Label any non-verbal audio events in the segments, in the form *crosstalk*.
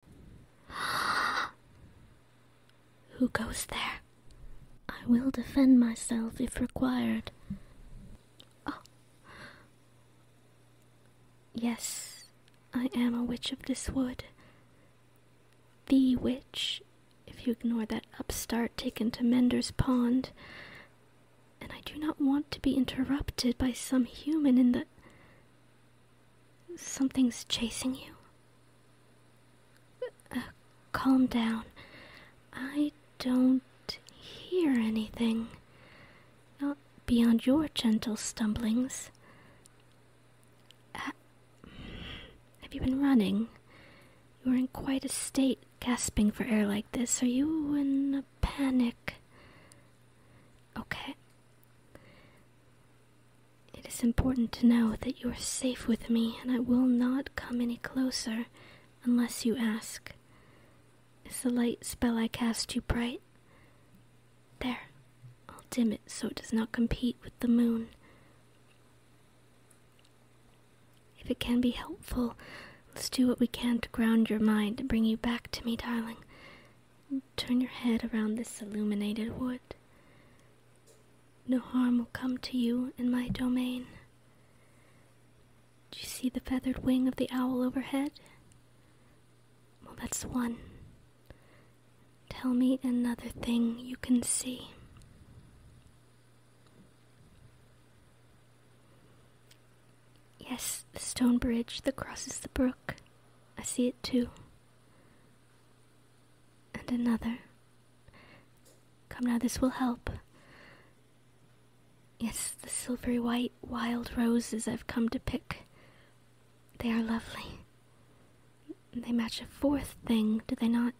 *gasps* Who goes there? I will defend myself if required. Oh. Yes, I am a witch of this wood. The witch, if you ignore that upstart taken to Mender's Pond. And I do not want to be interrupted by some human in the. Something's chasing you? Uh, calm down. I don't hear anything. Not beyond your gentle stumblings. Uh, have you been running? You are in quite a state, gasping for air like this. Are you in a panic? Okay. It is important to know that you are safe with me, and I will not come any closer unless you ask. Is the light spell I cast too bright? There, I'll dim it so it does not compete with the moon. If it can be helpful, let's do what we can to ground your mind and bring you back to me, darling. Turn your head around this illuminated wood. No harm will come to you in my domain. Do you see the feathered wing of the owl overhead? Well, that's one. Tell me another thing you can see. Yes, the stone bridge that crosses the brook. I see it too and another. Come now, this will help. Yes, the silvery white wild roses I've come to pick. They are lovely. They match a fourth thing, do they not?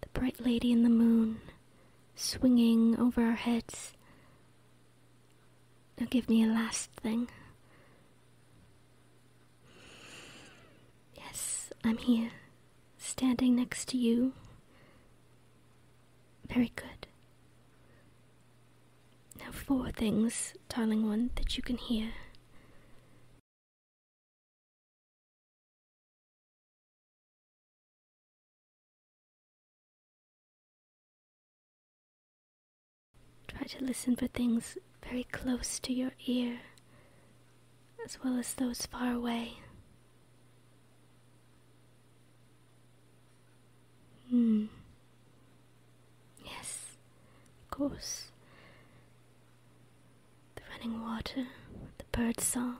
The bright lady in the moon, swinging over our heads. Now give me a last thing. Yes, I'm here, standing next to you. Very good. Now, four things, darling one, that you can hear. Try to listen for things very close to your ear, as well as those far away. Hmm. Yes, of course. The running water, the bird song,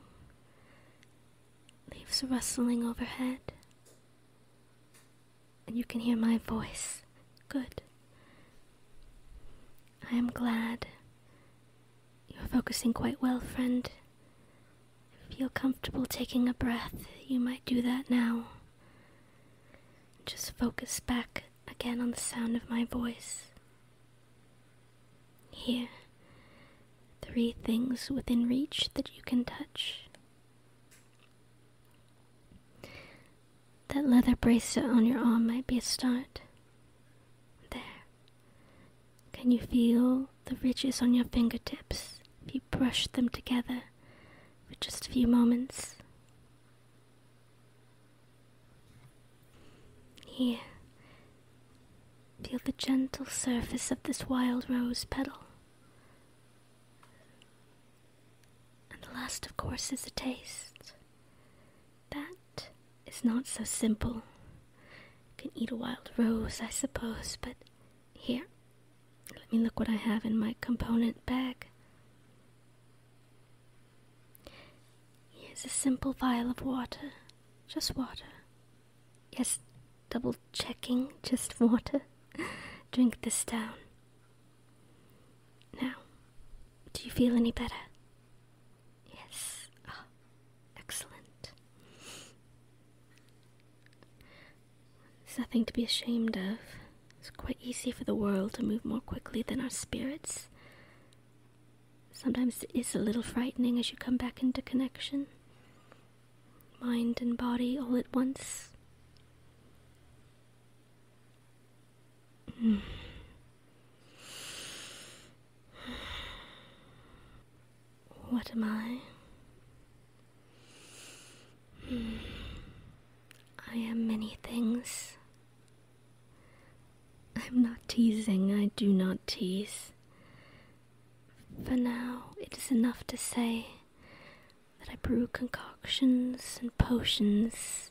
leaves rustling overhead and you can hear my voice. Good. I am glad. You're focusing quite well, friend. If you feel comfortable taking a breath, you might do that now. Just focus back again on the sound of my voice. Here, three things within reach that you can touch that leather bracelet on your arm might be a start. There. Can you feel the ridges on your fingertips if you brush them together for just a few moments? Here. Feel the gentle surface of this wild rose petal. And the last, of course, is the taste. That is not so simple. You can eat a wild rose, I suppose, but here, let me look what I have in my component bag. Here's a simple vial of water, just water. Yes, double checking, just water. *laughs* Drink this down. Now, do you feel any better? Yes. Ah, excellent. There's nothing to be ashamed of. It's quite easy for the world to move more quickly than our spirits. Sometimes it is a little frightening as you come back into connection mind and body all at once. Hmm. What am I? Hmm. I am many things. I'm not teasing, I do not tease. For now, it is enough to say that I brew concoctions and potions,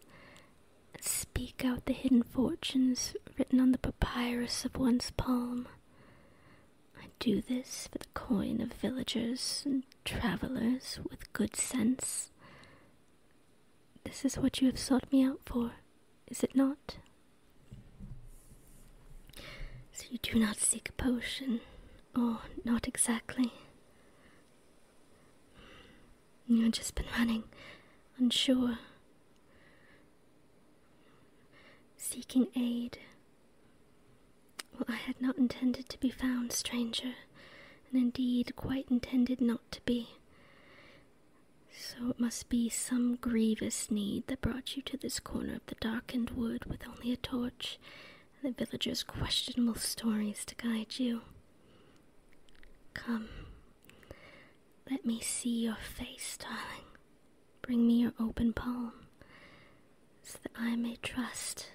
and speak out the hidden fortunes written on the papyrus of one's palm. I do this for the coin of villagers and travelers with good sense. This is what you have sought me out for, is it not? So you do not seek a potion, Oh, not exactly. You have just been running, unsure, seeking aid. Well, I had not intended to be found, stranger, and indeed quite intended not to be. So it must be some grievous need that brought you to this corner of the darkened wood with only a torch the villagers' questionable stories to guide you. Come, let me see your face, darling. Bring me your open palm, so that I may trust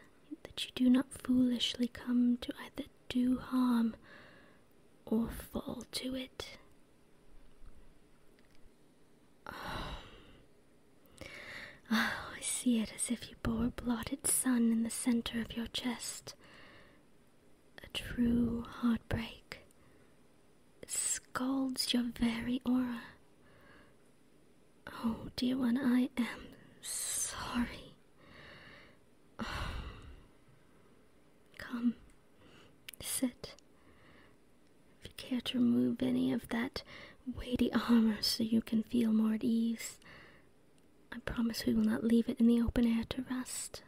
that you do not foolishly come to either do harm or fall to it. Oh, I see it as if you bore a blotted sun in the center of your chest. A true heartbreak. It scalds your very aura. Oh, dear one, I am sorry. *sighs* Come, sit. If you care to remove any of that weighty armor so you can feel more at ease. I promise we will not leave it in the open air to rust.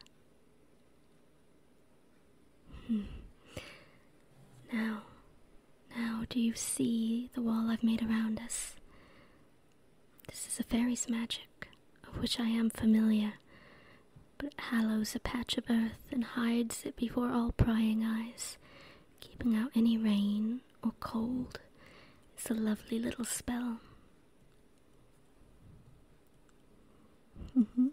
Hmm. Now, now do you see the wall I've made around us? This is a fairy's magic, of which I am familiar, but it hallows a patch of earth and hides it before all prying eyes, keeping out any rain or oh, cold. It's a lovely little spell. Mm-hmm.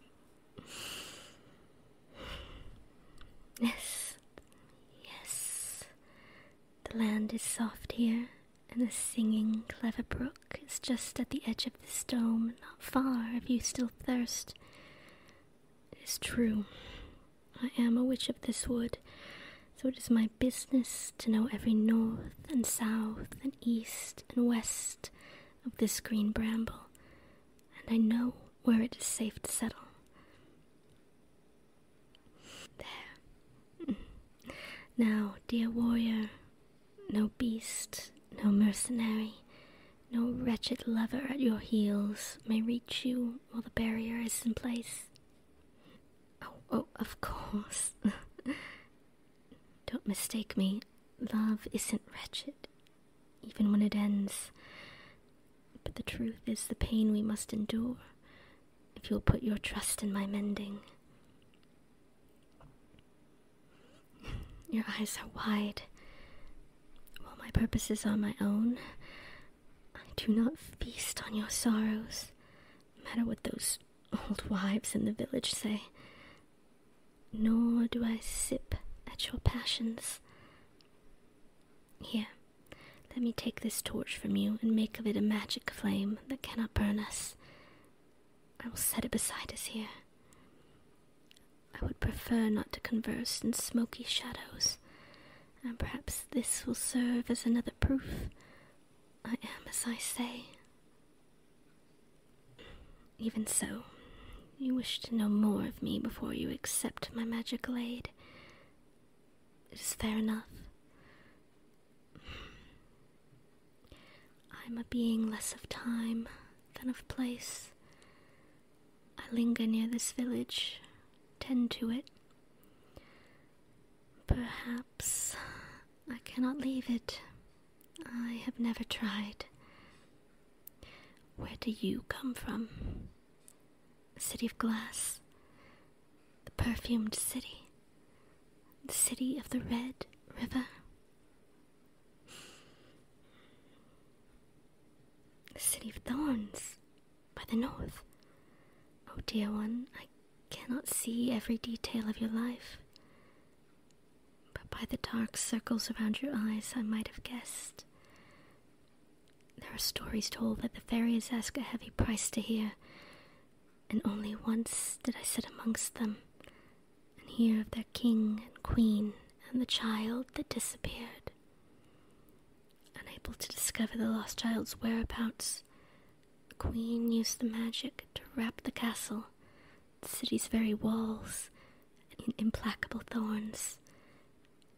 yes, yes. The land is soft here, and the singing clever brook is just at the edge of this dome, not far if you still thirst. It is true. I am a witch of this wood, so it is my business to know every north and south and east and west of this green bramble, and I know where it is safe to settle. There. Mm. Now, dear warrior, no beast, no mercenary, no wretched lover at your heels may reach you while the barrier is in place. Oh, oh, of course. *laughs* Don't mistake me. Love isn't wretched, even when it ends. But the truth is the pain we must endure if you'll put your trust in my mending. Your eyes are wide. While my purposes are my own, I do not feast on your sorrows, matter what those old wives in the village say. Nor do I sip at your passions. Here, let me take this torch from you and make of it a magic flame that cannot burn us. I will set it beside us here. I would prefer not to converse in smoky shadows and perhaps this will serve as another proof I am as I say. Even so, you wish to know more of me before you accept my magic aid. It is fair enough. I'm a being less of time than of place. I linger near this village, tend to it. Perhaps I cannot leave it. I have never tried. Where do you come from? city of glass, the perfumed city, the city of the red river. The city of thorns. By the north. Oh, dear one, I cannot see every detail of your life. But by the dark circles around your eyes, I might have guessed. There are stories told that the fairies ask a heavy price to hear, and only once did I sit amongst them and hear of their king and queen and the child that disappeared. Unable to discover the lost child's whereabouts, the queen used the magic to wrap the castle, the city's very walls, in implacable thorns.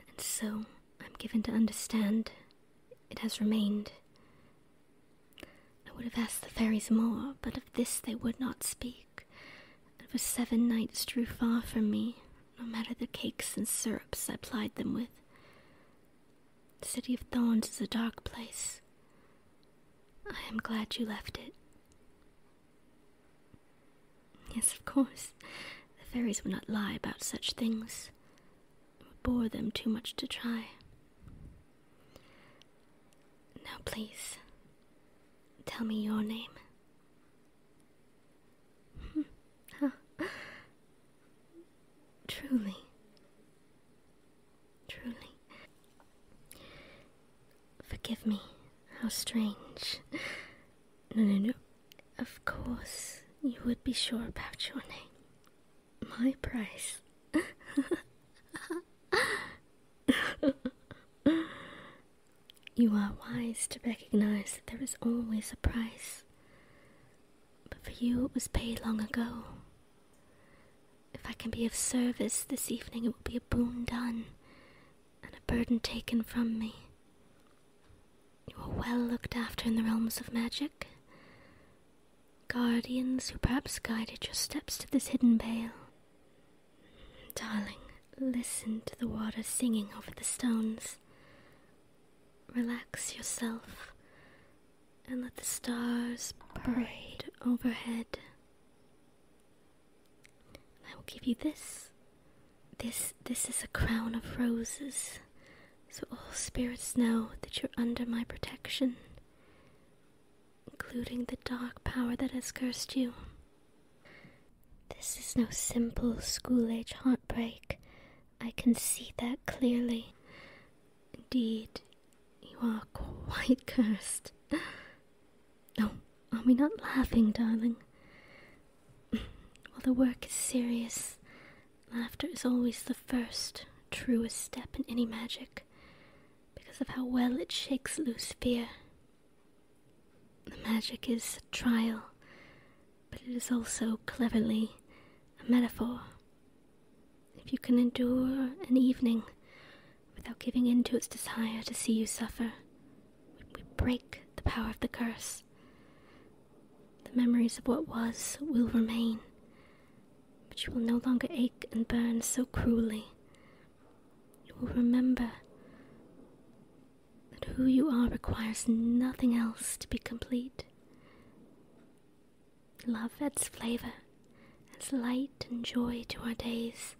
And so, I'm given to understand, it has remained. I would have asked the fairies more, but of this they would not speak, and for seven nights drew far from me, no matter the cakes and syrups I plied them with. The city of thorns is a dark place. I am glad you left it. Yes, of course. The fairies would not lie about such things. It would bore them too much to try. Now, please, tell me your name. *laughs* truly, truly. Forgive me, how strange. No, no, no. Of course, you would be sure about your name. My price. *laughs* You are wise to recognize that there is always a price. But for you, it was paid long ago. If I can be of service this evening, it will be a boon done and a burden taken from me. You are well looked after in the realms of magic. Guardians who perhaps guided your steps to this hidden vale. Darling, listen to the water singing over the stones. Relax yourself and let the stars parade overhead. I will give you this. This this is a crown of roses. So all spirits know that you're under my protection, including the dark power that has cursed you. This is no simple school age heartbreak. I can see that clearly. Indeed, you are quite cursed. Oh, are we not laughing, darling? Well, the work is serious. Laughter is always the first, truest step in any magic, because of how well it shakes loose fear the magic is a trial, but it is also cleverly a metaphor. If you can endure an evening without giving in to its desire to see you suffer, we break the power of the curse. The memories of what was will remain, but you will no longer ache and burn so cruelly. You will remember that who you are requires nothing else to be complete. Love adds flavor, adds light and joy to our days.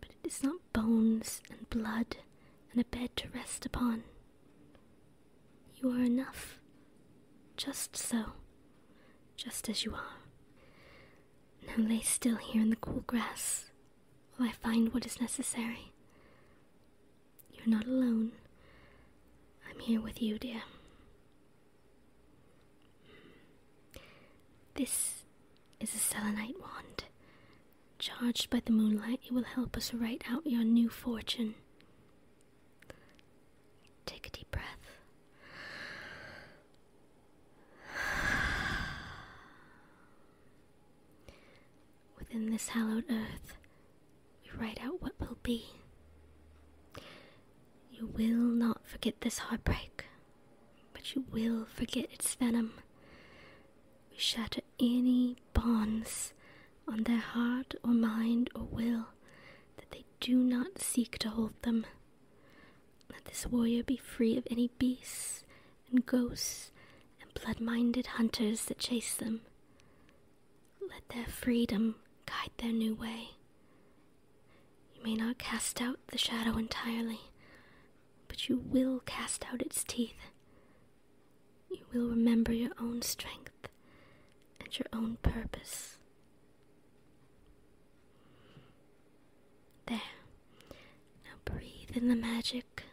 But it is not bones and blood and a bed to rest upon. You are enough, just so, just as you are. Now lay still here in the cool grass while I find what is necessary. You're not alone. I'm here with you, dear. This is a selenite wand. Charged by the moonlight, it will help us write out your new fortune. Take a deep breath within this hallowed earth, we write out what will be. You will not forget this heartbreak, but you will forget its venom. We shatter any bonds on their heart or mind or will that they do not seek to hold them. Let this warrior be free of any beasts and ghosts and blood minded hunters that chase them. Let their freedom guide their new way. You may not cast out the shadow entirely, but you will cast out its teeth. You will remember your own strength and your own purpose. There. Now breathe in the magic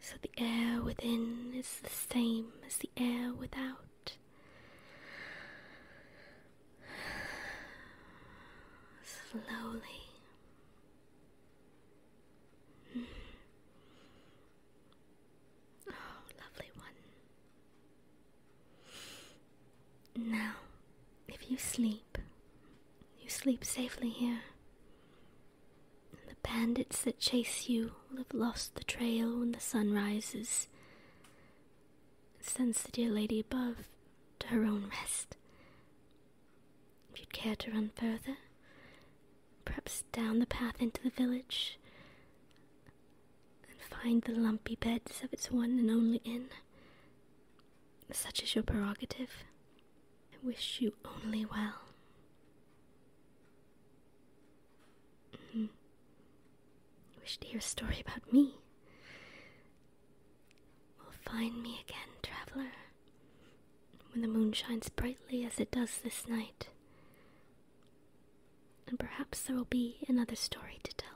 so the air within is the same as the air without. Slowly. Mm-hmm. Oh, lovely one. Now, if you sleep, you sleep safely here. The bandits that chase you will have lost the trail when the sun rises. Sends the dear lady above to her own rest. If you'd care to run further, perhaps down the path into the village and find the lumpy beds of its one and only inn. Such is your prerogative. I wish you only well. mm Wish to hear a story about me. Well, find me again, traveler, when the moon shines brightly as it does this night. And perhaps there will be another story to tell.